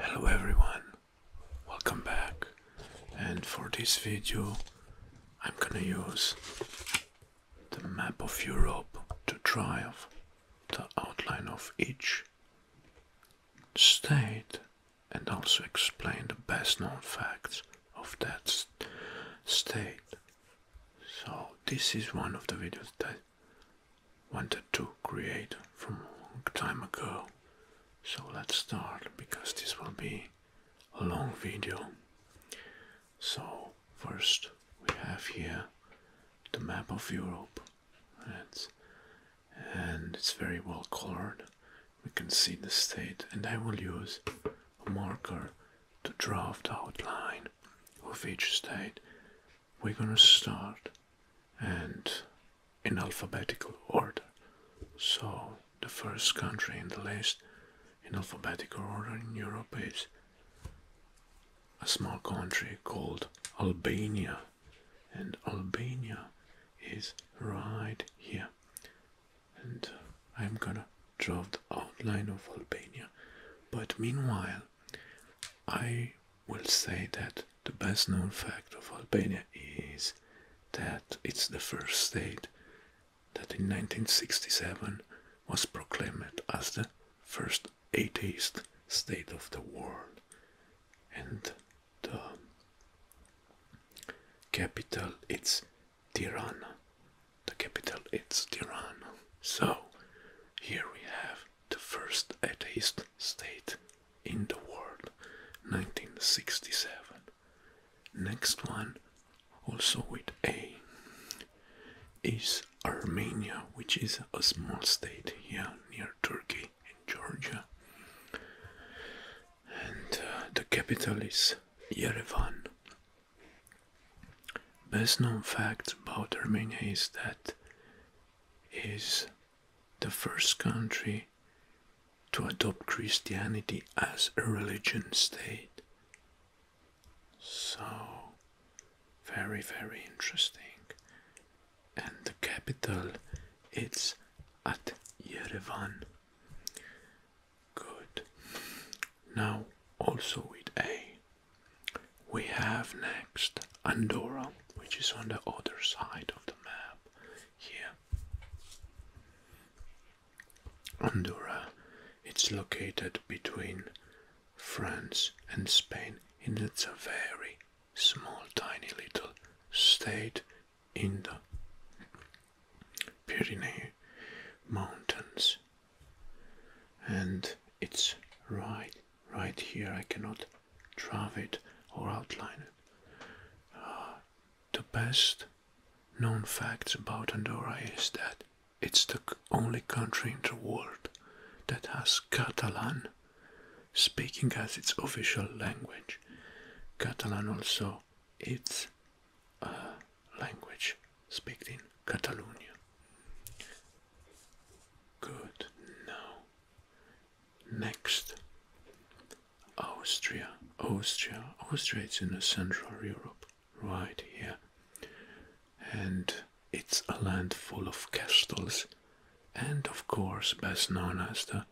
Hello everyone, welcome back and for this video I'm gonna use the map of Europe to draw the outline of each state and also explain the best known facts of that state. So this is one of the videos that I wanted to create from a long time ago. So let's start because this will be a long video. So first we have here the map of Europe. It's, and it's very well colored we can see the state and I will use a marker to draft outline of each state. We're gonna start and in alphabetical order. So the first country in the list in alphabetical order in Europe is a small country called Albania and Albania is right here and I'm gonna draw the outline of Albania. But meanwhile, I will say that the best known fact of Albania is that it's the first state that in 1967 was proclaimed as the first atheist state of the world. And the capital it's Tirana. The capital it's Tirana. So here we have the first atheist state in the world, 1967. Next one, also with A, is Armenia, which is a small state here near Turkey and Georgia and uh, the capital is Yerevan. Best known fact about Armenia is that it is the first country to adopt Christianity as a religion state. So, very, very interesting. And the capital, it's at Yerevan. Good. Now, also with A, we have next Andorra, which is on the other side of the map here. Andorra, it's located between France and Spain, and it's a very small, tiny little state in the Pyrenees mountains and it's right right here I cannot draw it or outline it. Ah, the best known facts about Andorra is that it's the only country in the world that has Catalan speaking as its official language. Catalan also its a uh, language spoken in Catalonia. Good, now next Austria, Austria, Austria is in Central Europe, right here, and it's a land full of castles, and of course, best known as the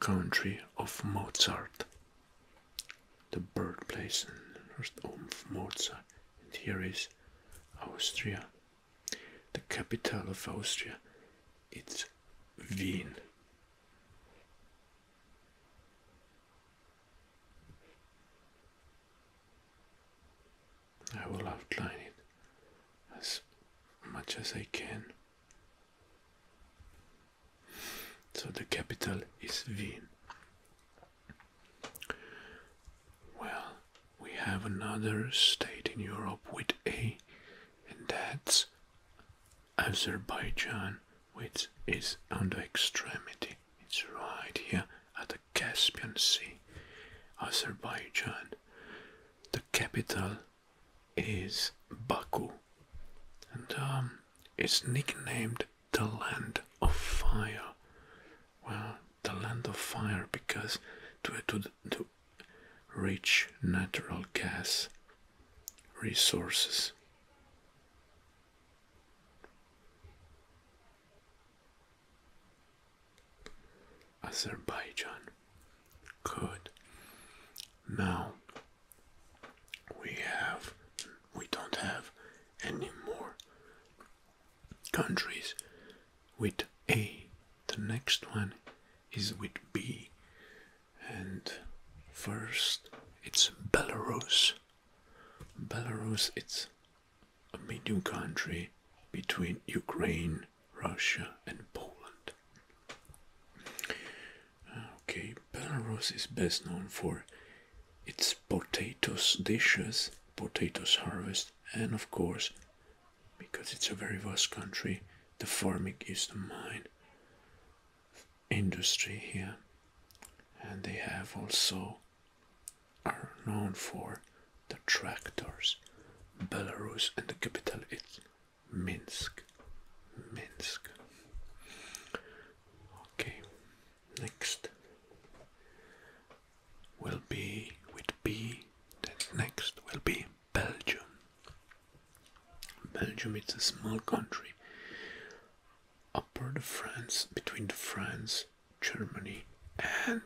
country of Mozart, the birthplace and first home of Mozart. And here is Austria, the capital of Austria. It's Vienna. I will outline it as much as I can. So the capital is Wien. Well, we have another state in Europe with A, and that's Azerbaijan, which is on the extremity. It's right here at the Caspian Sea. Azerbaijan. The capital is Baku, and um, it's nicknamed the Land of Fire. Well, the Land of Fire because due to, rich natural gas resources. Azerbaijan. Good. Now we have we don't have any more countries with A. The next one is with B and first it's Belarus. Belarus it's a medium country between Ukraine, Russia and Poland. Okay, Belarus is best known for its potatoes dishes, potatoes harvest, and of course, because it's a very vast country, the farming is the main industry here. And they have also are known for the tractors. Belarus and the capital is Minsk. Minsk. Okay, next will be with B. next will be Belgium. Belgium is a small country upper the France, between the France, Germany, and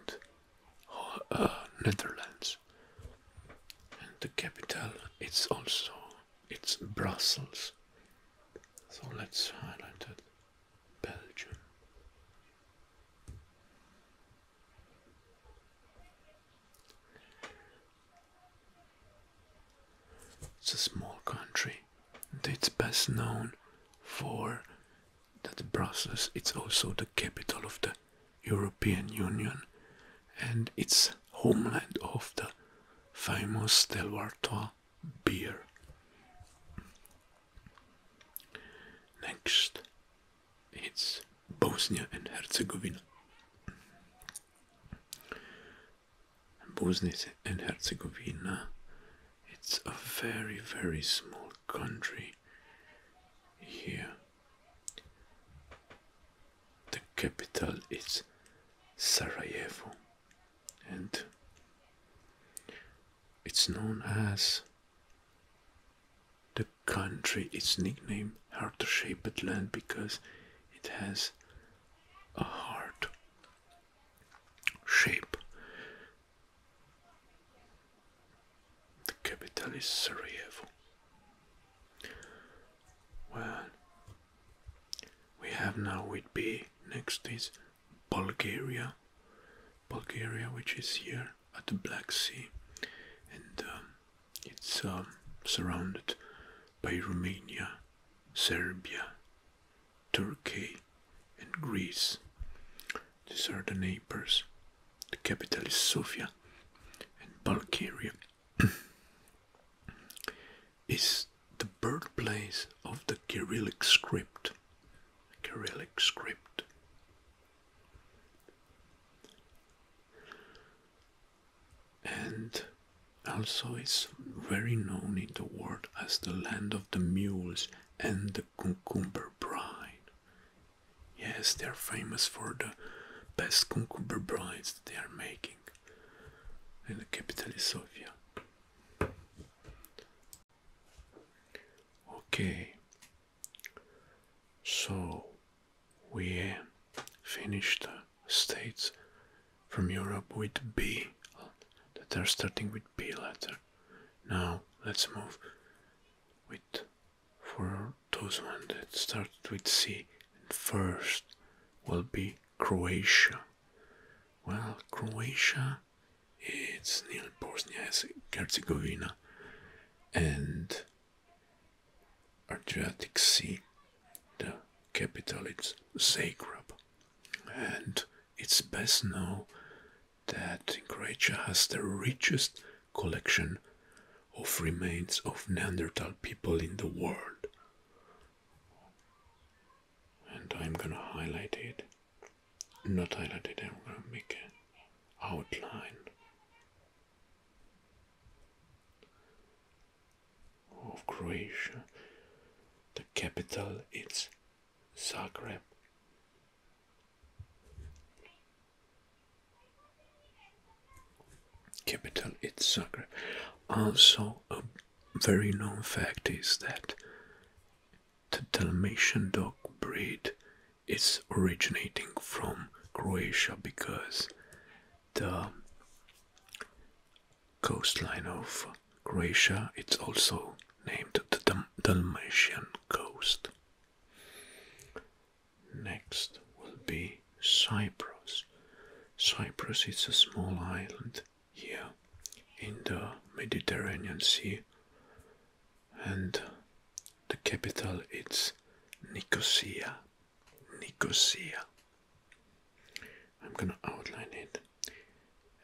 uh, Netherlands. And the capital is also it's Brussels. So let's highlight it Belgium. It's a small country and it's best known for that Brussels it's also the capital of the European Union and it's homeland of the famous Delvartois beer. Next, it's Bosnia and Herzegovina. Bosnia and Herzegovina, it's a very, very small country here the capital is Sarajevo and it's known as the country its nickname heart shaped land because it has a heart shape the capital is Sarajevo well, we have now with B next is Bulgaria, Bulgaria, which is here at the Black Sea, and um, it's um, surrounded by Romania, Serbia, Turkey, and Greece. These are the neighbors. The capital is Sofia, and Bulgaria is the birthplace of the Kyrillic script. Kyrillic script. And also is very known in the world as the land of the mules and the cucumber bride. Yes, they are famous for the best cucumber brides that they are making and the capital is Sofia. Okay, so we finished states from Europe with B that are starting with B letter. Now let's move with for those one that start with C first will be Croatia. Well, Croatia, it's near Bosnia and Herzegovina and Adriatic Sea. The capital it's Zagreb, and it's best known that Croatia has the richest collection of remains of Neanderthal people in the world and I'm gonna highlight it not highlight it, I'm gonna make an outline of Croatia the capital is Zagreb capital it's Zagreb. Also, a very known fact is that the Dalmatian dog breed is originating from Croatia because the coastline of Croatia it's also named the Dalmatian coast. Next will be Cyprus. Cyprus is a small island here in the Mediterranean Sea and the capital is Nicosia. Nicosia. I'm gonna outline it.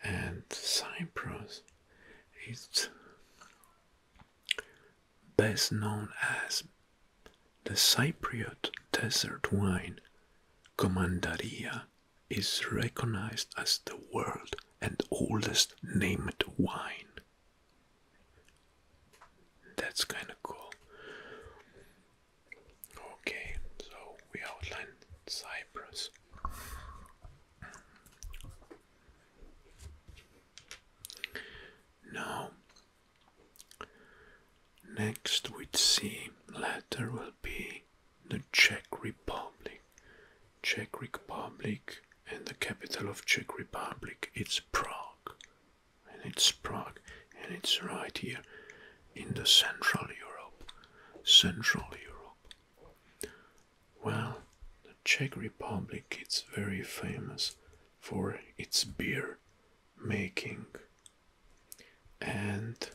And Cyprus is best known as the Cypriot desert wine, Commandaria, is recognized as the world and oldest named wine. That's kind of cool. Okay, so we outlined Cyprus. Now, Next we with C letter will be the Czech Republic. Czech Republic and the capital of Czech Republic it's Prague. And it's Prague and it's right here in the Central Europe. Central Europe. Well, the Czech Republic it's very famous for its beer making and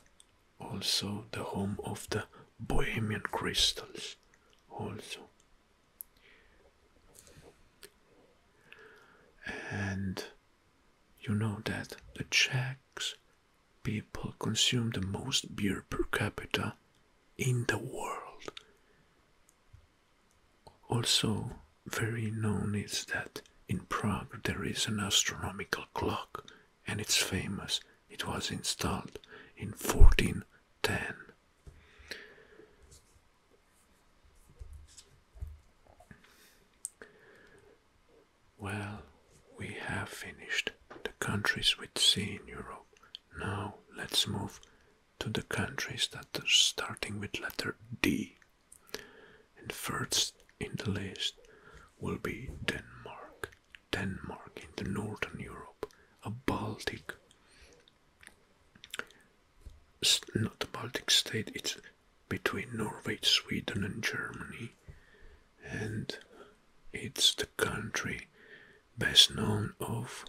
also the home of the Bohemian crystals also and you know that the Czechs people consume the most beer per capita in the world also very known is that in Prague there is an astronomical clock and it's famous. It was installed in 1410. Well, we have finished the countries with C in Europe. Now let's move to the countries that are starting with letter D. And first in the list will be Denmark. Denmark in the northern Europe, a Baltic, not a Baltic state, it's between Norway, Sweden, and Germany. And it's the country best known of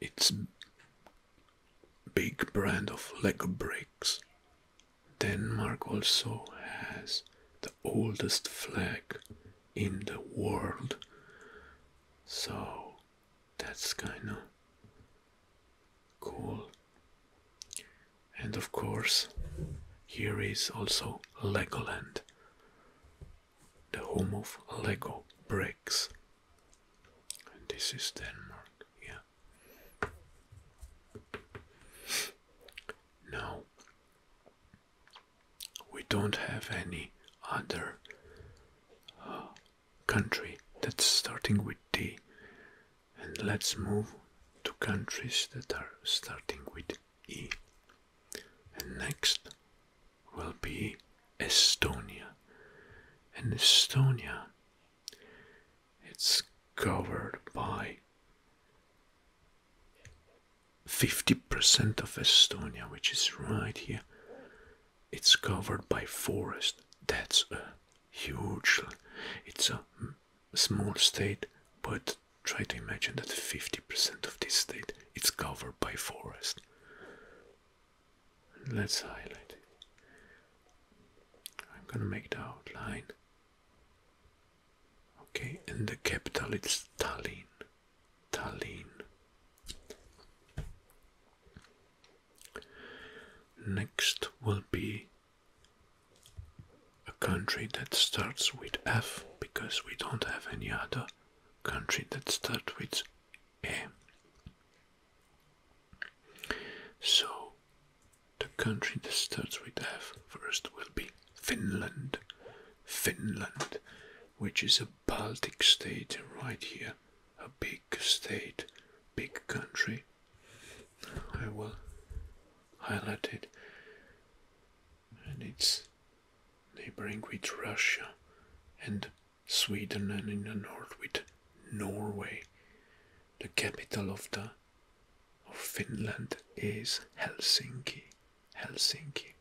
its big brand of Lego bricks. Denmark also has the oldest flag in the world. So that's kind of cool. And of course, here is also Legoland, the home of Lego bricks. this is Denmark, yeah. No, we don't have any other uh, country that's starting with D. And let's move to countries that are starting with E. And next will be Estonia. And Estonia it's covered by 50% of Estonia, which is right here. It's covered by forest. That's a huge, it's a small state, but try to imagine that 50% of this state is covered by forest. Let's highlight it. I'm gonna make the outline. Okay, and the capital it's Tallinn. Tallinn. Next will be a country that starts with F because we don't have any other country that starts with E. So the country that starts with F first will be Finland. Finland, which is a Baltic state right here, a big state, big country. I will highlight it. And it's neighboring with Russia and Sweden and in the north with Norway. The capital of the of Finland is Helsinki. Helsinki.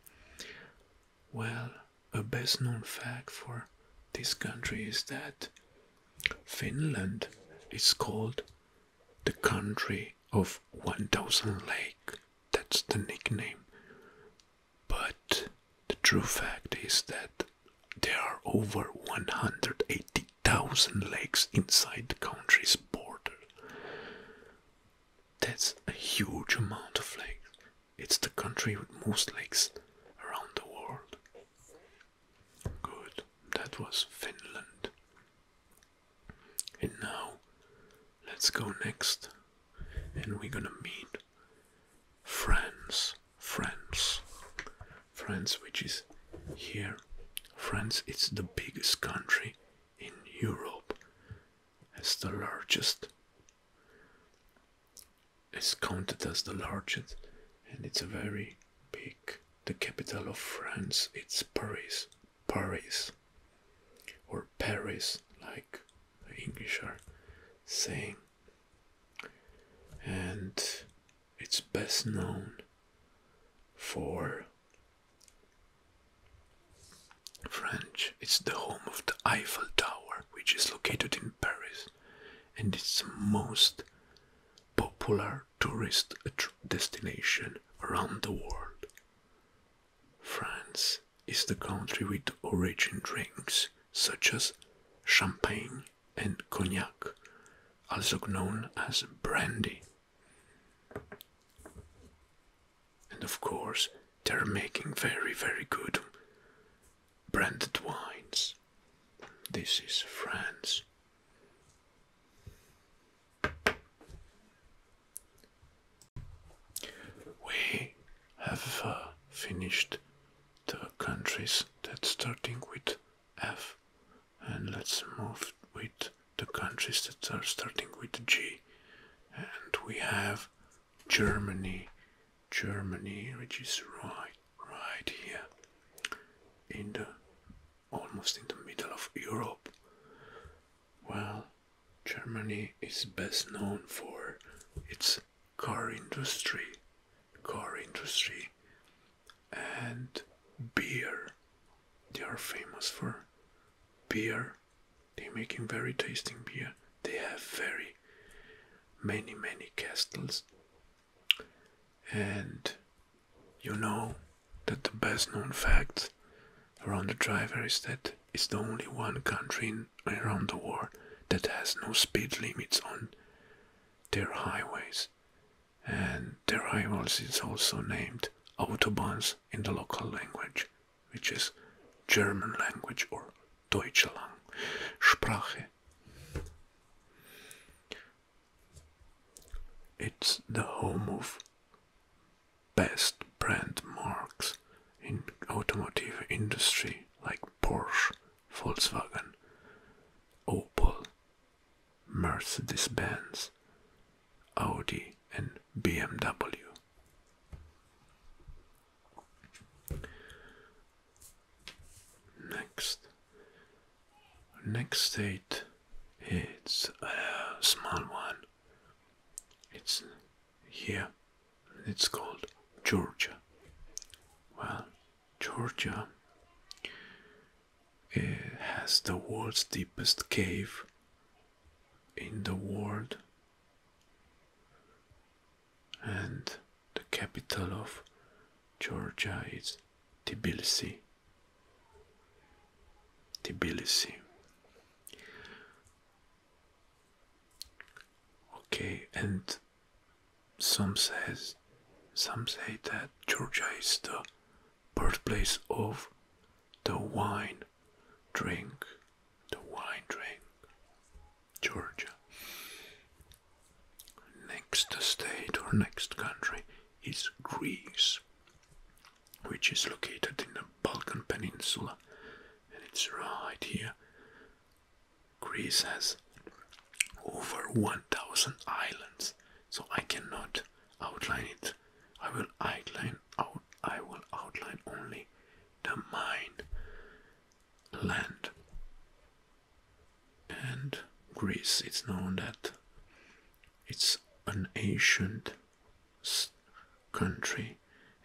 Well, a best known fact for this country is that Finland is called the country of 1000 lakes. That's the nickname. But the true fact is that there are over 180,000 lakes inside the country's border. That's a huge amount of lakes. It's the country with most lakes around the world. Good, that was Finland. And now let's go next and we're gonna meet friends, friends. France, which is here. France is the biggest country in Europe, as the largest. It's counted as the largest, and it's a very big. The capital of France, it's Paris, Paris, or Paris, like the English are saying. And it's best known for French. It's the home of the Eiffel Tower, which is located in Paris, and it's the most popular tourist destination around the world. France is the country with origin drinks such as champagne, and cognac, also known as brandy. And of course, they're making very, very good branded wines. This is France. We have uh, finished the countries that starting with F and let's move with the countries that are starting with G and we have Germany Germany which is right right here in the almost in the middle of Europe well Germany is best known for its car industry car industry and beer. They are famous for beer. They're making very tasting beer. They have very many, many castles. And you know that the best known fact around the driver is that it's the only one country around the world that has no speed limits on their highways and the rivals is also named autobahns in the local language, which is German language or Deutsche Sprache. It's the home of best brand marks in automotive industry like Porsche, Volkswagen, Opel, Mercedes Benz, Audi, and BMW. Next, next state, it's a small one. It's here. It's called Georgia. Well, Georgia it has the world's deepest cave in the world and the capital of Georgia is Tbilisi. Tbilisi. Okay, and some says some say that Georgia is the birthplace of the wine drink, the wine drink, Georgia. Next state or next country is Greece, which is located in the Balkan Peninsula, and it's right here. Greece has over 1000 islands, so I cannot outline it. I will outline out I will outline only the mine land and Greece it's known that it's an ancient country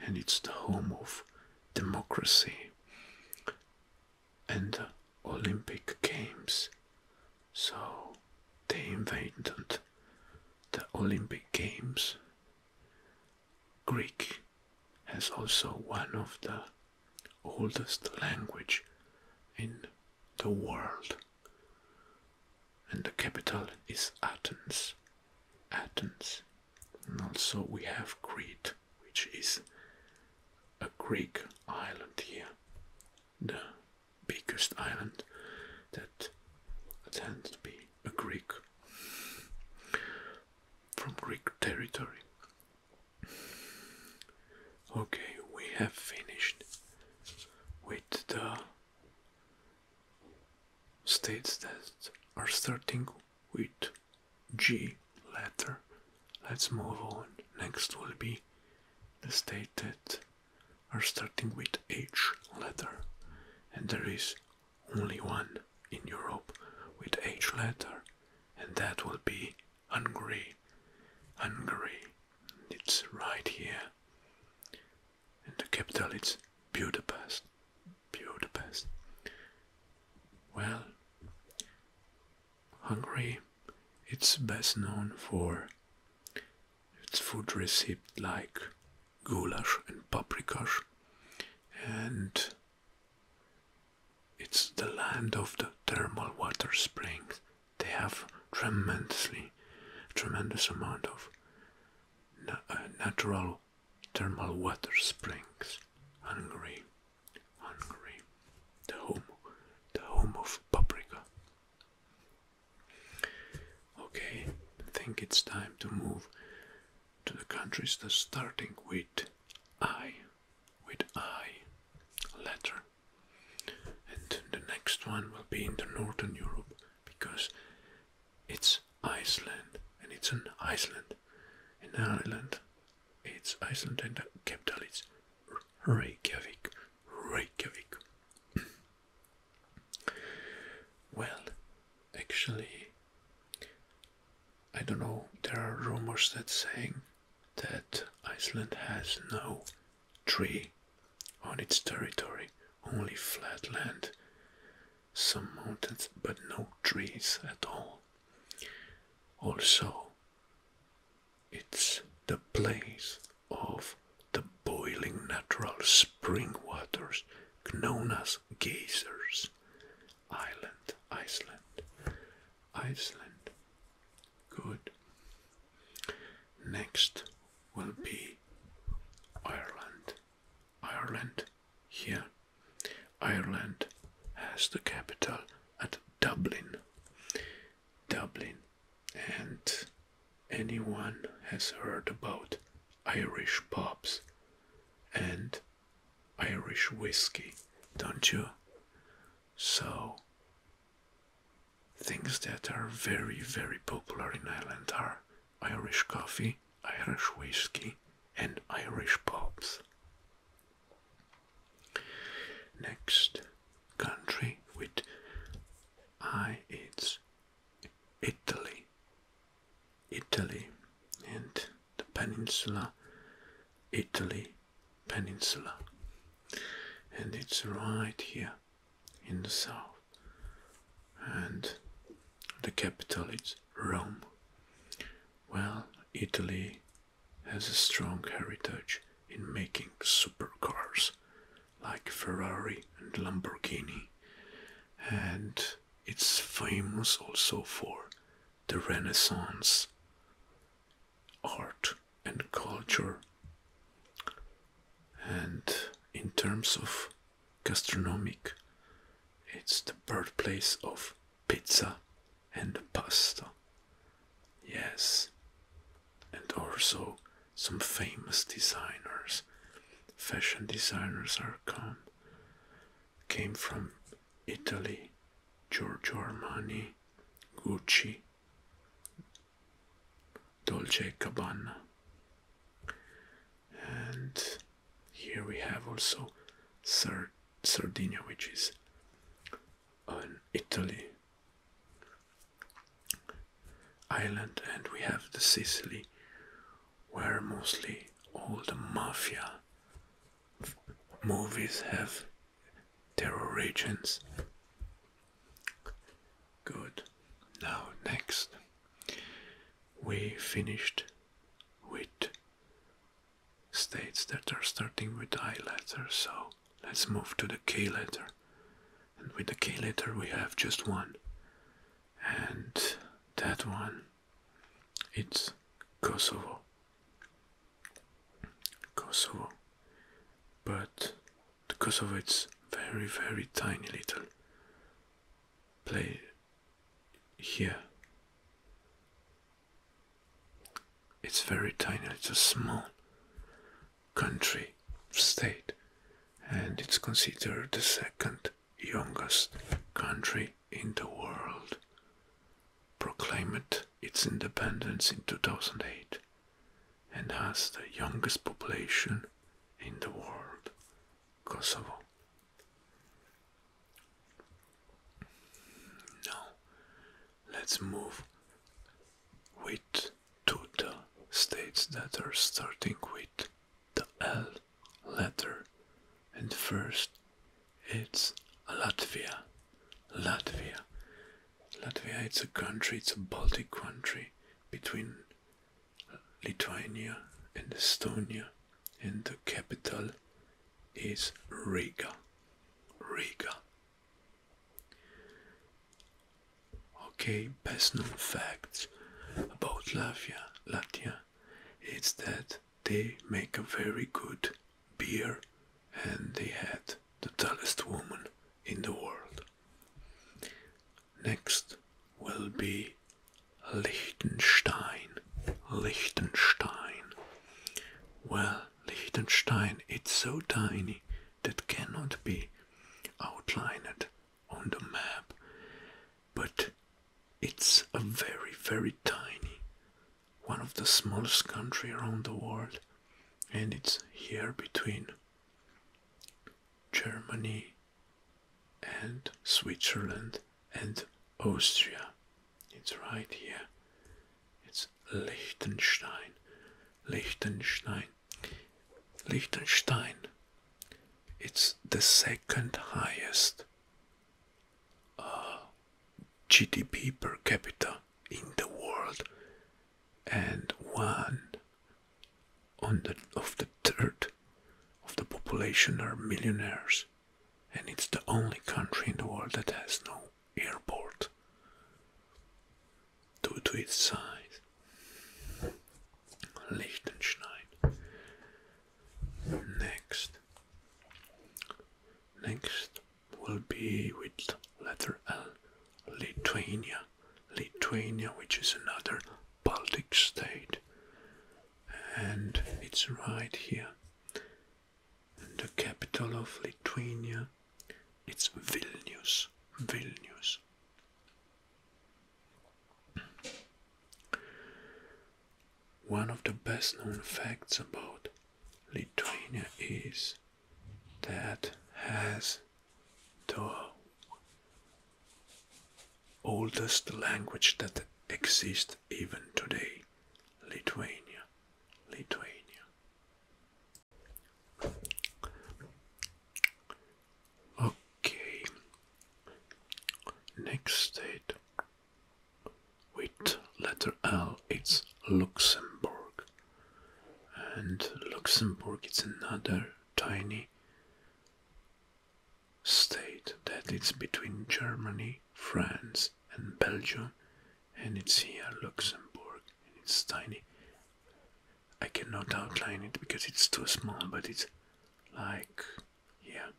and it's the home of democracy and uh, Olympic Games. So they invented the Olympic Games. Greek has also one of the oldest language in the world. And the capital is Athens. Athens. And also we have Crete, which is a Greek island here the biggest island that tends to be a Greek from Greek territory. Okay, we have finished with the states that are starting with G letter. Let's move on. Next will be the stated are starting with H letter, and there is only one in Europe with H letter, and that will be Hungary. Hungary, it's right here, and the capital it's Budapest. Budapest. Well, Hungary it's best known for its food recipe like goulash and paprikash and it's the land of the thermal water springs. They have tremendously, tremendous amount of uh, natural thermal water springs. Hungary, Hungary, the home, the home of paprika. Okay, I think it's time to move to the countries that starting with I, with I letter. And the next one will be in the Northern Europe because it's Iceland and it's an Iceland. an island. it's Iceland and the capital is Reykjavik, Reykjavik. well, actually, I don't know, there are rumors that saying that Iceland has no tree on its territory, only flat land, some mountains, but no trees at all. Also, it's the place of the boiling natural spring waters known as geysers. Island, Iceland, Iceland. Good. Next will be Ireland. Ireland here. Ireland has the capital at Dublin. Dublin and anyone has heard about Irish pubs and Irish whiskey, don't you? So, things that are very, very popular in Ireland are Irish coffee, Irish whiskey, and Irish pubs. Next, country with I, it's Italy. Italy and the peninsula, Italy peninsula. And it's right here in the south. And the capital is Rome. Well, Italy has a strong heritage in making supercars like Ferrari and Lamborghini. And it's famous also for the Renaissance art and culture. And in terms of gastronomic, it's the birthplace of pizza and pasta. Yes, and also some famous designers, fashion designers are come, came from Italy, Giorgio Armani, Gucci, Dolce & Gabbana. And here we have also Sardinia, which is an Italy island and we have the Sicily where mostly all the mafia movies have their origins. Good. Now next we finished with states that are starting with I letters. so let's move to the K letter. And with the K letter we have just one. And that one, it's Kosovo. Kosovo. But the Kosovo it's very very tiny little play here. It's very tiny, it's a small country, state, and it's considered the second youngest country in the world. Proclaimed its independence in 2008 and has the youngest population in the world, Kosovo. Now, let's move with to the states that are starting with the L letter. And first it's Latvia. Latvia. Latvia it's a country, it's a Baltic country between Lithuania and Estonia and the capital is Riga. Riga. Okay, personal facts about Latvia, Latvia is that they make a very good beer and they had the tallest woman in the world. Next will be Liechtenstein. Liechtenstein. Well, Liechtenstein, it's so tiny that cannot be outlined on the map, but it's a very, very tiny one of the smallest country around the world, and it's here between Germany and Switzerland and Austria. It's right here. It's Liechtenstein. Liechtenstein Liechtenstein. It's the second highest uh, GDP per capita in the world, and one of the third of the population are millionaires, and it's the only country in the world that has no airport due to its size. Liechtenstein. Next. Next will be with letter L, Lithuania. Lithuania, which is another Baltic state, and it's right here. And the capital of Lithuania it's Vilnius. Vilnius. One of the best known facts about Lithuania is that has the oldest language that exists even today Lithuania Lithuania Okay, next state with letter L it's Luxembourg, and Luxembourg is another tiny state that is between Germany, France, and Belgium, and it's here Luxembourg, it's tiny. I cannot outline it because it's too small, but it's like, yeah.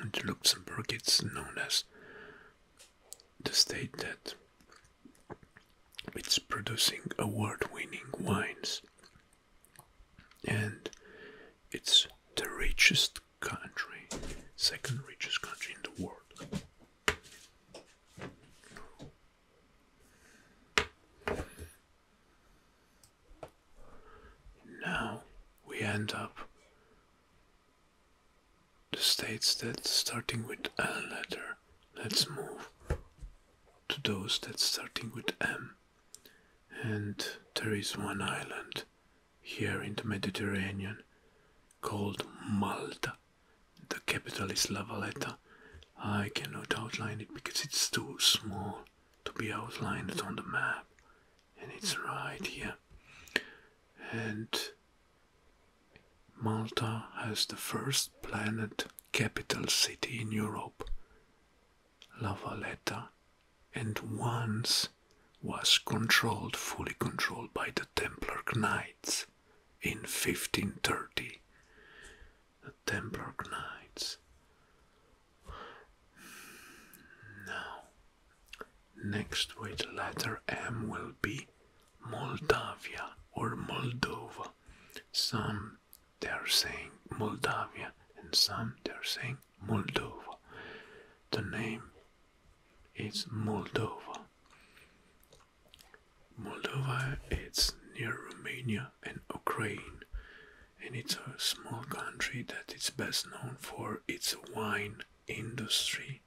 And Luxembourg is known as the state that it's producing award-winning wines and it's the richest country, second richest country in the world. Now we end up the states that starting with L letter. Let's move to those that starting with M. And there is one island here in the Mediterranean called Malta. The capital is La Valeta. I cannot outline it because it's too small to be outlined on the map. And it's right here. And Malta has the first planet capital city in Europe, La Valeta, And once was controlled, fully controlled by the Templar Knights in 1530. The Templar Knights. Now, next with letter M will be Moldavia or Moldova. Some they are saying Moldavia and some they are saying Moldova. The name is Moldova. Moldova It's near Romania and Ukraine, and it's a small country that is best known for its wine industry.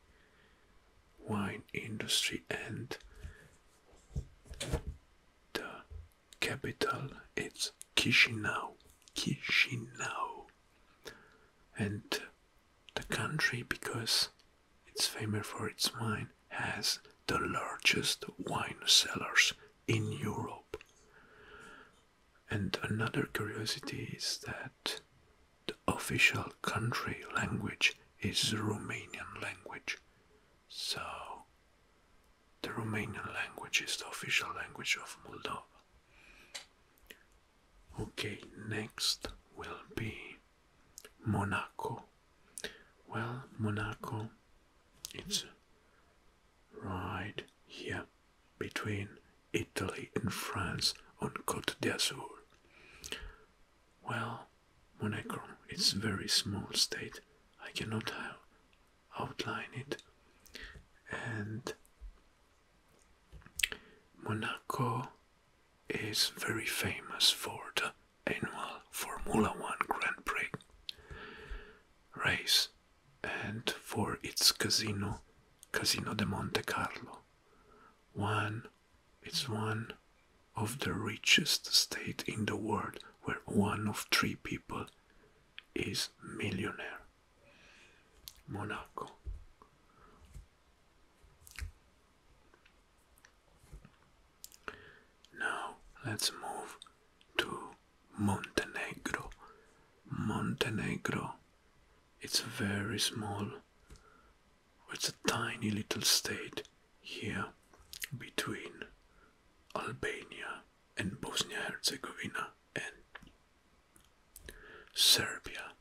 Wine industry and the capital It's Chisinau. Chisinau. And the country, because it's famous for its wine, has the largest wine cellars in Europe. And another curiosity is that the official country language is the Romanian language. So, the Romanian language is the official language of Moldova. Okay, next will be Monaco. Well, Monaco, it's right here between Italy and France on Côte d'Azur. Well, Monaco, it's a very small state. I cannot outline it. And Monaco is very famous for the annual Formula One Grand Prix race and for its casino, Casino de Monte Carlo. One, it's one of the richest state in the world where one of three people is millionaire. Monaco. Now let's move to Montenegro. Montenegro. It's very small. It's a tiny little state here between Albania and Bosnia Herzegovina and Serbia.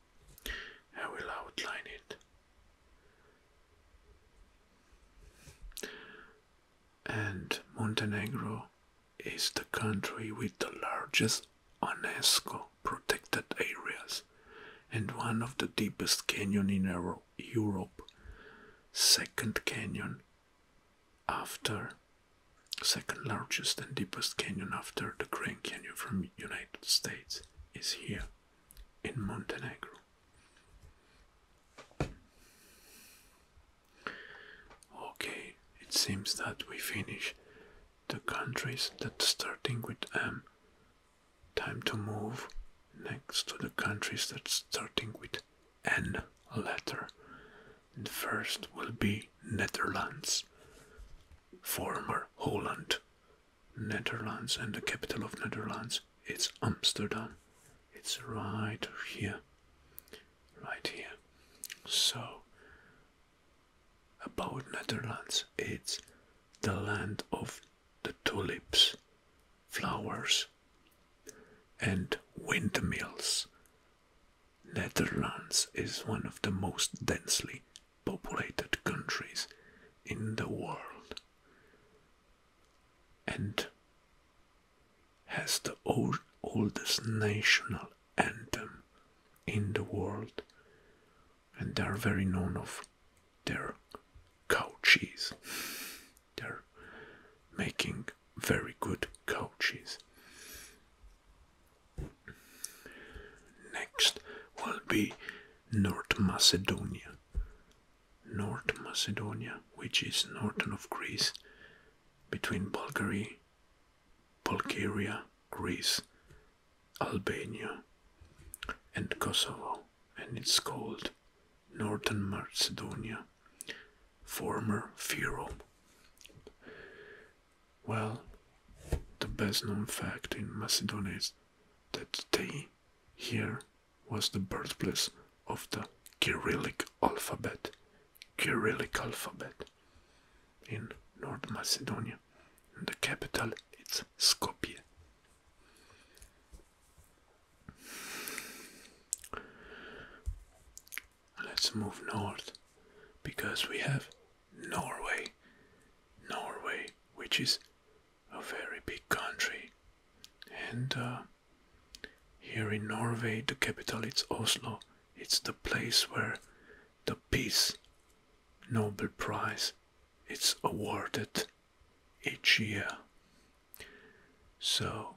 I will outline it. And Montenegro is the country with the largest UNESCO protected areas and one of the deepest canyon in Europe. Second canyon after second largest and deepest canyon after the Grand Canyon from United States is here in Montenegro. Okay, it seems that we finish the countries that starting with M. Time to move next to the countries that starting with N letter. The first will be Netherlands, former Holland. Netherlands and the capital of Netherlands it's Amsterdam. It's right here. Right here. So about Netherlands it's the land of the tulips, flowers and windmills. Netherlands is one of the most densely populated countries in the world and has the oldest national anthem in the world and they are very known of their cow cheese they're making very good cow next will be North Macedonia. North Macedonia, which is northern of Greece, between Bulgaria, Bulgaria, Greece, Albania, and Kosovo, and it's called Northern Macedonia, former Firo. Well, the best known fact in Macedonia is that day, here was the birthplace of the Kyrillic alphabet, Kyrillic alphabet in North Macedonia. And the capital is Skopje. Let's move north because we have Norway. Norway, which is a very big country. And uh, here in Norway, the capital is Oslo. It's the place where the Peace Nobel Prize is awarded each year. So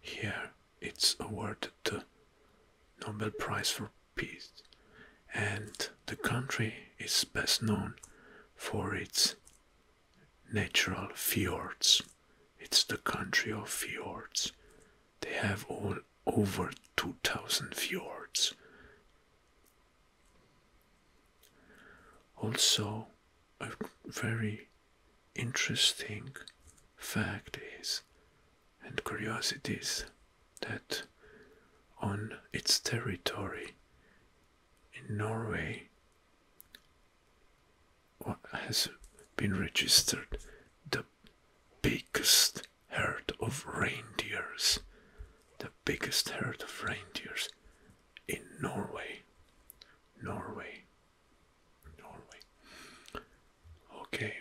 here it's awarded the Nobel Prize for peace, and the country is best known for its natural fjords. It's the country of fjords. They have all over 2000 fjords. Also, a very interesting fact is and curiosities that on its territory in Norway has been registered the biggest herd of reindeers, the biggest herd of reindeers in Norway. Norway. Norway. Okay.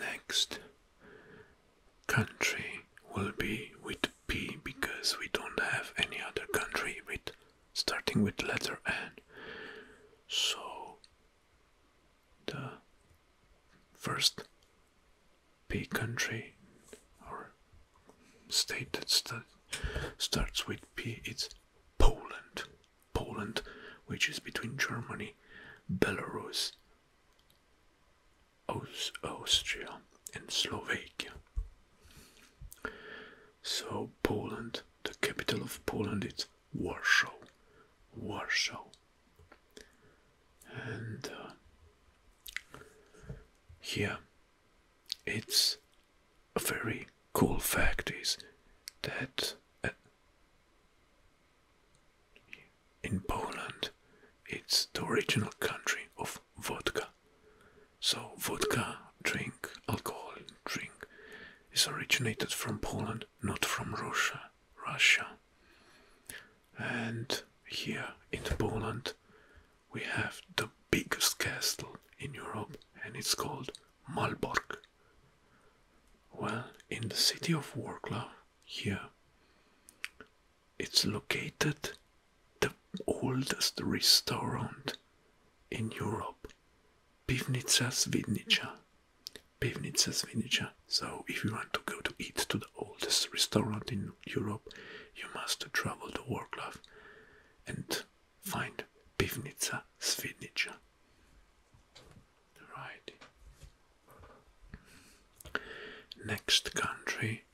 Next, country will be with P because we don't have any other country with starting with letter N. So the first P country or state that st starts with P is Poland. Poland, which is between Germany, Belarus, Austria and Slovakia. So Poland, the capital of Poland is Warsaw. Warsaw. And uh, here it's a very cool fact is that uh, in Poland, it's the original country of vodka. So, vodka, drink, alcohol, drink, is originated from Poland, not from Russia. Russia. And here in Poland, we have the biggest castle in Europe, and it's called Malbork. Well, in the city of Wroclaw, here. It's located the oldest restaurant in Europe, Pivnica Svidnica. Pivnica Svidnica. So, if you want to go to eat to the oldest restaurant in Europe, you must travel to Warclaw and find Pivnica Svidnica. Right. Next country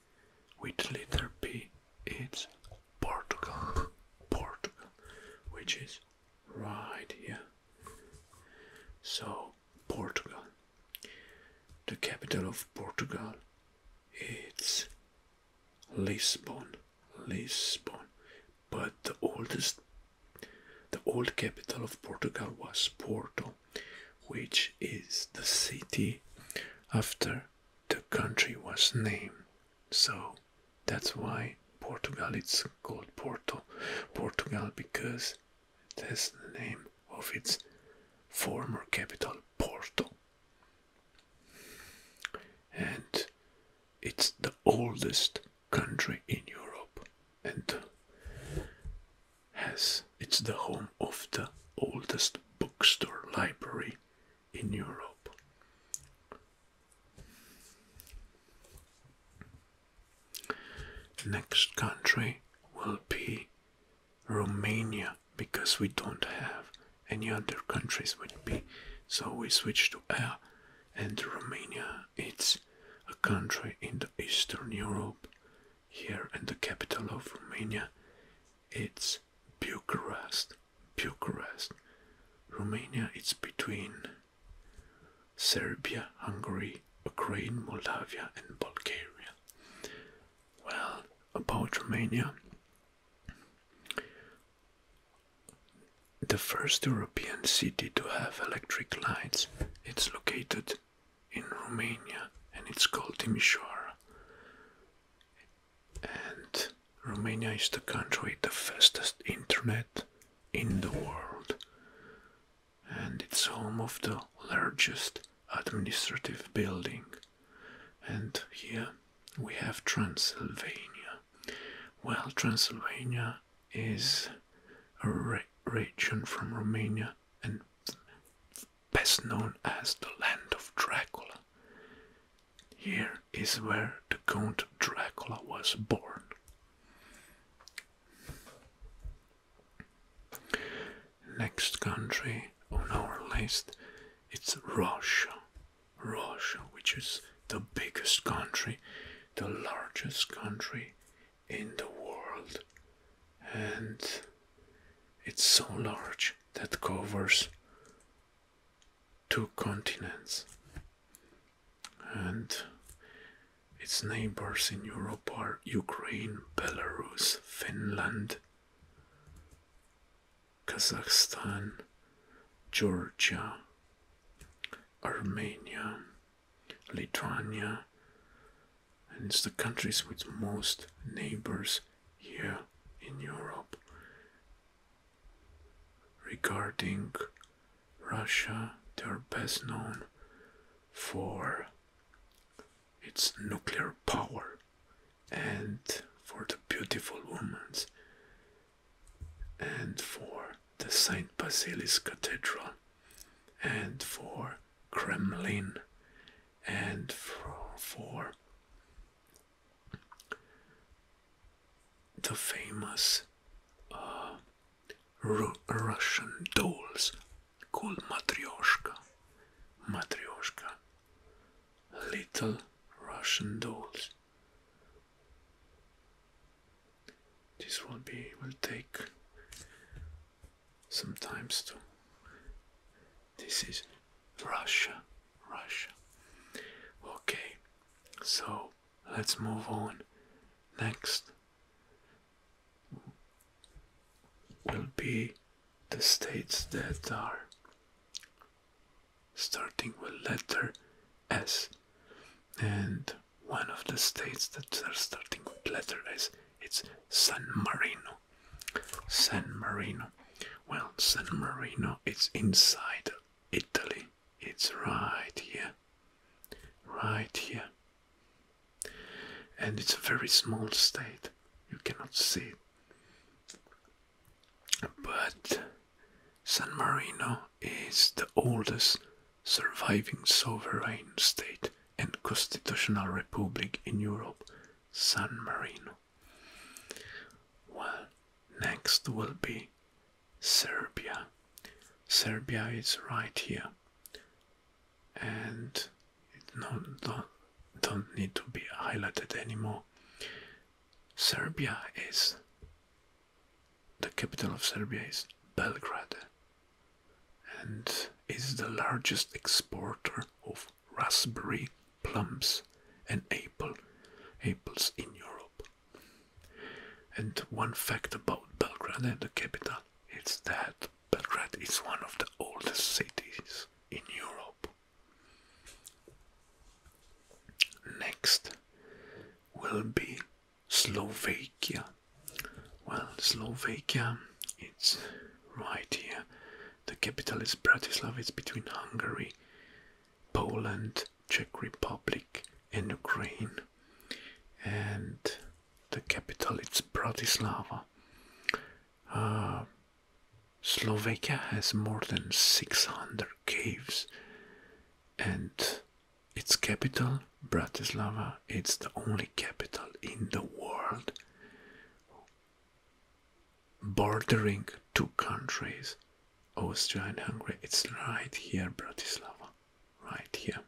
with letter P is Portugal. Portugal, which is right here. So, Portugal. The capital of Portugal it's Lisbon. Lisbon. But the oldest the old capital of Portugal was Porto which is the city after the country was named. So that's why Portugal it's called Porto Portugal because it has the name of its former capital Porto. And it's the oldest country in Europe and has it's the home of the oldest bookstore library in Europe. Next country will be Romania because we don't have any other countries with be so we switch to air and Romania it's a country in the Eastern Europe here in the capital of Romania. It's Bucharest. Bucharest. Romania it's between Serbia, Hungary, Ukraine, Moldavia and Bulgaria. Well, about Romania. The first European city to have electric lights. It's located in Romania and it's called Timișoara. And Romania is the country with the fastest internet in the world. And it's home of the largest administrative building. And here we have Transylvania. Well, Transylvania is a region from Romania and best known as the land of Dracula. Here is where the Count Dracula was born. Next country on our list it's Russia. Russia, which is the biggest country, the largest country in the world and it's so large that covers two continents and its neighbors in Europe are Ukraine, Belarus, Finland, Kazakhstan, Georgia, Armenia, Lithuania, and it's the countries with most neighbors here in Europe. Regarding Russia, they're best known for its nuclear power and for the beautiful women and for the St. Basilius Cathedral and for Kremlin and for, for the famous uh, Russian dolls called Matryoshka. Matryoshka. Little Russian dolls. This will be will take sometimes too. This is Russia, Russia. Okay, so let's move on. Next will be the states that are starting with letter S. And one of the states that are starting with letter S, it's San Marino. San Marino. Well, San Marino is inside Italy. It's right here. Right here. And it's a very small state. You cannot see it. But San Marino is the oldest surviving sovereign state and Constitutional Republic in Europe, San Marino. Well, next will be Serbia. Serbia is right here, and no, don't, don't need to be highlighted anymore. Serbia is the capital of Serbia is Belgrade and is the largest exporter of raspberry, plums, and apple apples in Europe. And one fact about Belgrade the capital is that Belgrade is one of the oldest cities in Europe. Next will be Slovakia. Well, Slovakia it's right here. The capital is Bratislava, it's between Hungary, Poland, Czech Republic, and Ukraine. And the capital is Bratislava. Uh, Slovakia has more than 600 caves, and its capital, Bratislava, it's the only capital in the world bordering two countries, Austria and Hungary. It's right here, Bratislava, right here.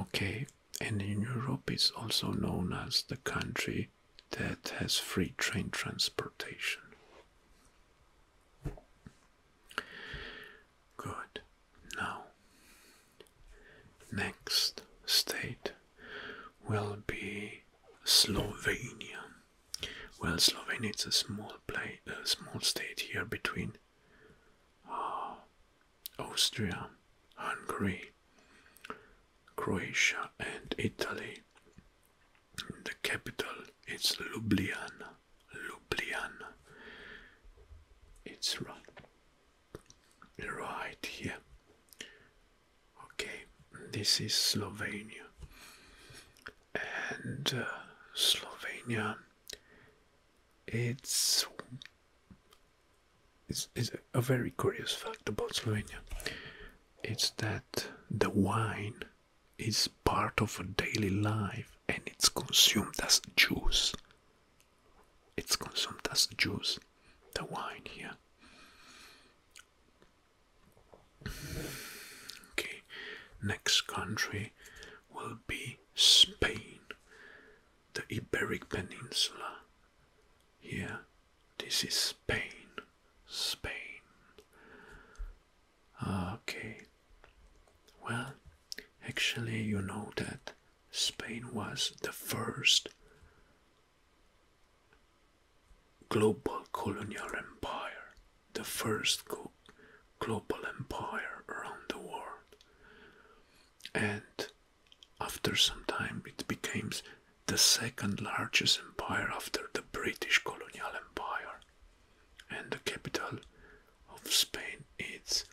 Okay, and in Europe, it's also known as the country that has free train transportation. Good. Now, next state will be Slovenia. Well, Slovenia is a small play, a small state here between uh, Austria, Hungary, Croatia, and Italy. The capital is Ljubljana. Ljubljana. It's right, right here. Okay, this is Slovenia, and uh, Slovenia. It's, it's, it's a very curious fact about Slovenia. It's that the wine is part of a daily life and it's consumed as juice it's consumed as juice, the wine here. Okay, next country will be Spain, the Iberic Peninsula. Here, this is Spain, Spain. Ah, okay, well, actually, you know that Spain was the first global colonial empire, the first global empire around the world. And after some time, it became the second largest empire after the British colonial empire. And the capital of Spain. It's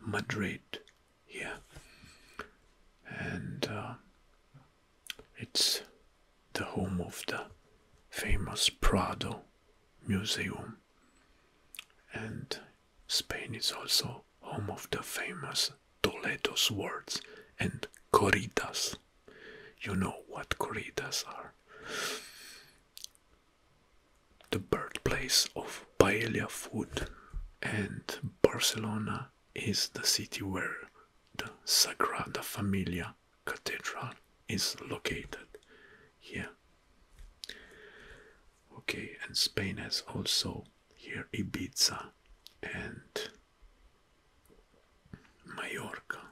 Madrid here, and uh, it's the home of the famous Prado Museum. And Spain is also home of the famous Toledo swords and corridas. You know what corridas are the birthplace of paella food, and Barcelona is the city where the Sagrada Familia Cathedral is located. Here, okay, and Spain has also here Ibiza and Mallorca.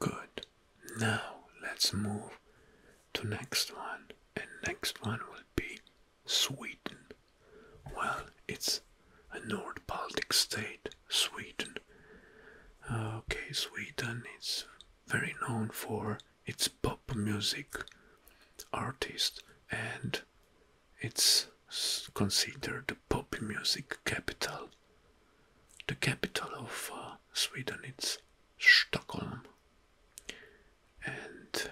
Good. Now let's move to next one. And next one will be Sweden. Well, it's a North Baltic state, Sweden. Uh, okay, Sweden is very known for its pop music artist and it's considered the pop music capital the capital of uh, Sweden is Stockholm, and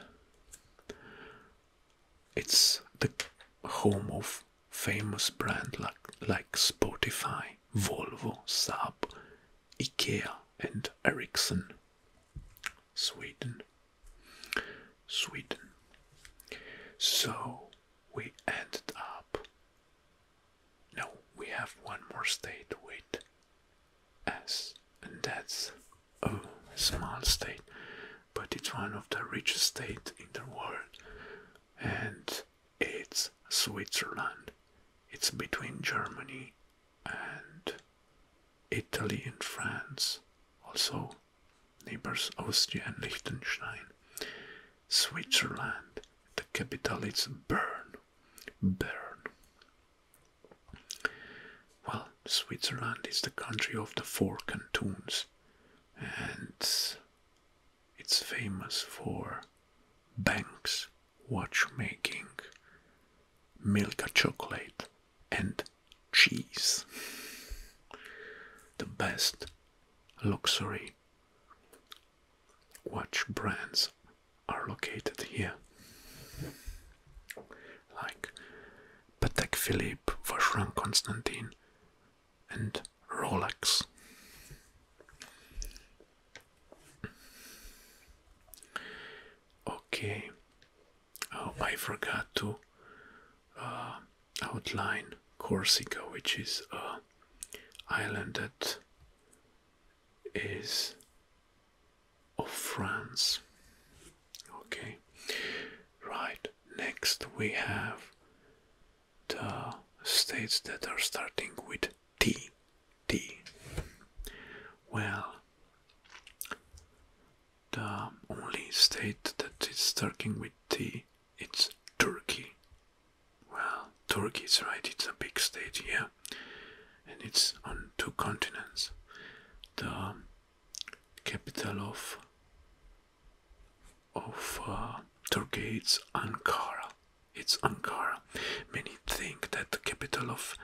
it's the home of famous brand like, like Spotify, Volvo, Saab, IKEA, and Ericsson. Sweden, Sweden. So we ended up no, we have one more state to wait as, and that's oh, a small state, but it's one of the richest states in the world, and it's Switzerland. It's between Germany and Italy and France, also neighbors Austria and Liechtenstein. Switzerland. The capital is Bern. Bern. Well, Switzerland is the country of the four cantons, and it's famous for banks, watchmaking, milk chocolate, and cheese. The best luxury Watch brands are located here, like Patek Philippe, Vacheron Constantin, and Rolex. Okay. Oh, I forgot to uh, outline Corsica, which is a island that is of France. Okay, right next we have the states that are starting with T. T. Well, the only state that is starting with T it's Turkey. Well, Turkey is right, it's a big state, here, And it's on two continents. The capital of of uh, Turkey is Ankara. It's Ankara. Many think that the capital of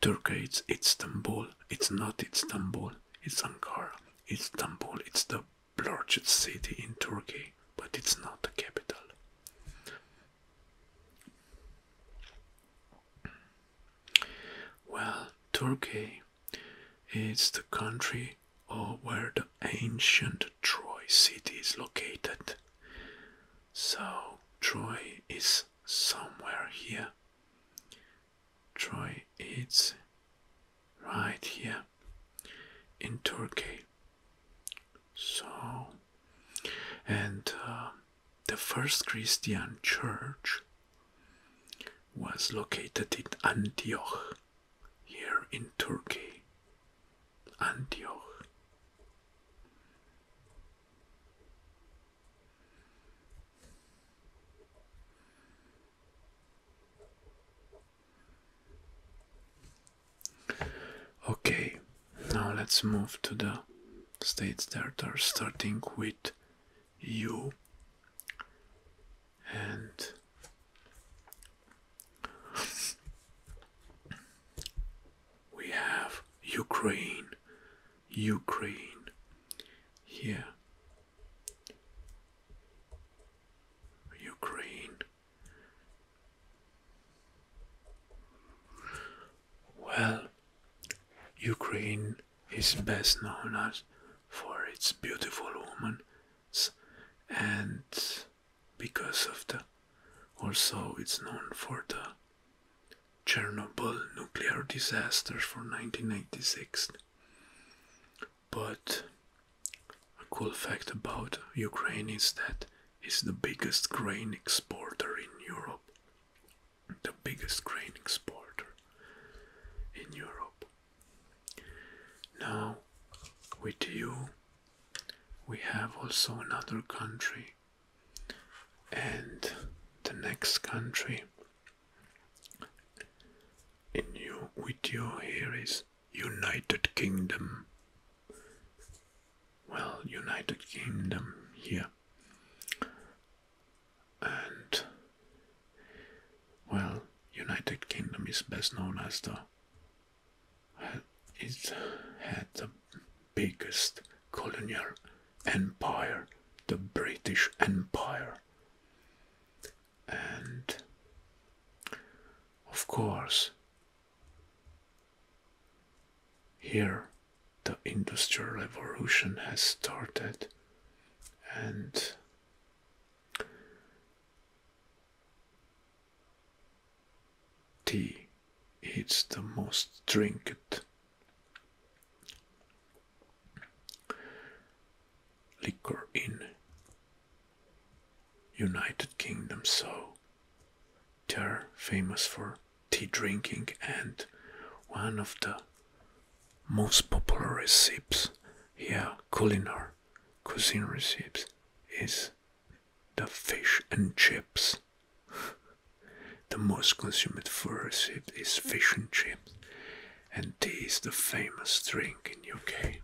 Turkey is Istanbul. It's not Istanbul. It's Ankara. Istanbul. It's the largest city in Turkey, but it's not the capital. Well, Turkey is the country where the ancient Troy city is located. So, Troy is somewhere here. Troy is right here in Turkey. So, and uh, the first Christian church was located in Antioch, here in Turkey. Antioch. Okay, now let's move to the states that are starting with U and we have Ukraine, Ukraine here. Ukraine, well, Ukraine is best known as for its beautiful women and because of the also it's known for the Chernobyl nuclear disaster from nineteen ninety-six. But a cool fact about Ukraine is that it's the biggest grain exporter in Europe. The biggest grain exporter in Europe. Now, with you, we have also another country, and the next country in your with you here is United Kingdom. Well, United Kingdom here. And well, United Kingdom is best known as the uh, it had the biggest colonial empire, the British Empire. And of course, here, the Industrial Revolution has started, and tea is the most drinked liquor in United Kingdom, so they are famous for tea drinking and one of the most popular recipes, yeah, culinary cuisine recipes is the fish and chips. the most consumed food recipe is fish and chips, and tea is the famous drink in UK.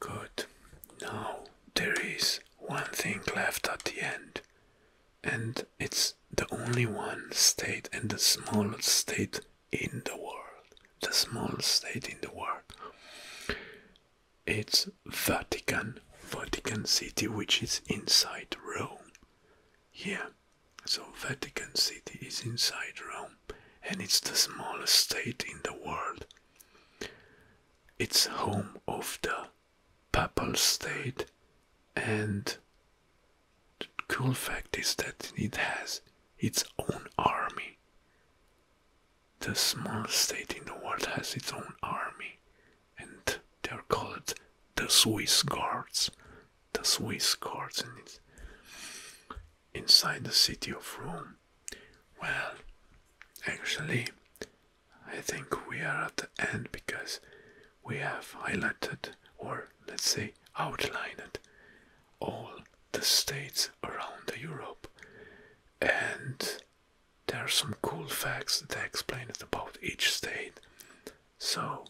Good. Now there is one thing left at the end, and it's the only one state and the smallest state in the world. The smallest state in the world. It's Vatican, Vatican City, which is inside Rome. Here, so Vatican City is inside Rome and it's the smallest state in the world. It's home of the Papal State, and the cool fact is that it has its own army. The smallest state in the world has its own army, and they are called the Swiss Guards. The Swiss Guards, and it's inside the city of Rome. Well, actually, I think we are at the end because we have highlighted, or let's say outlined, all the states around Europe, and there are some cool facts that explain it about each state. So,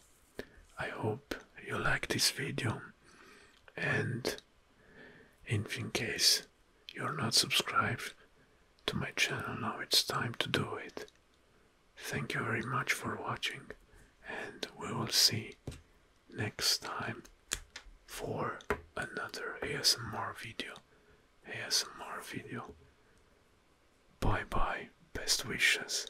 I hope you like this video, and in case you're not subscribed to my channel, now it's time to do it. Thank you very much for watching and we will see next time for another ASMR video. ASMR video. Bye bye. Best wishes.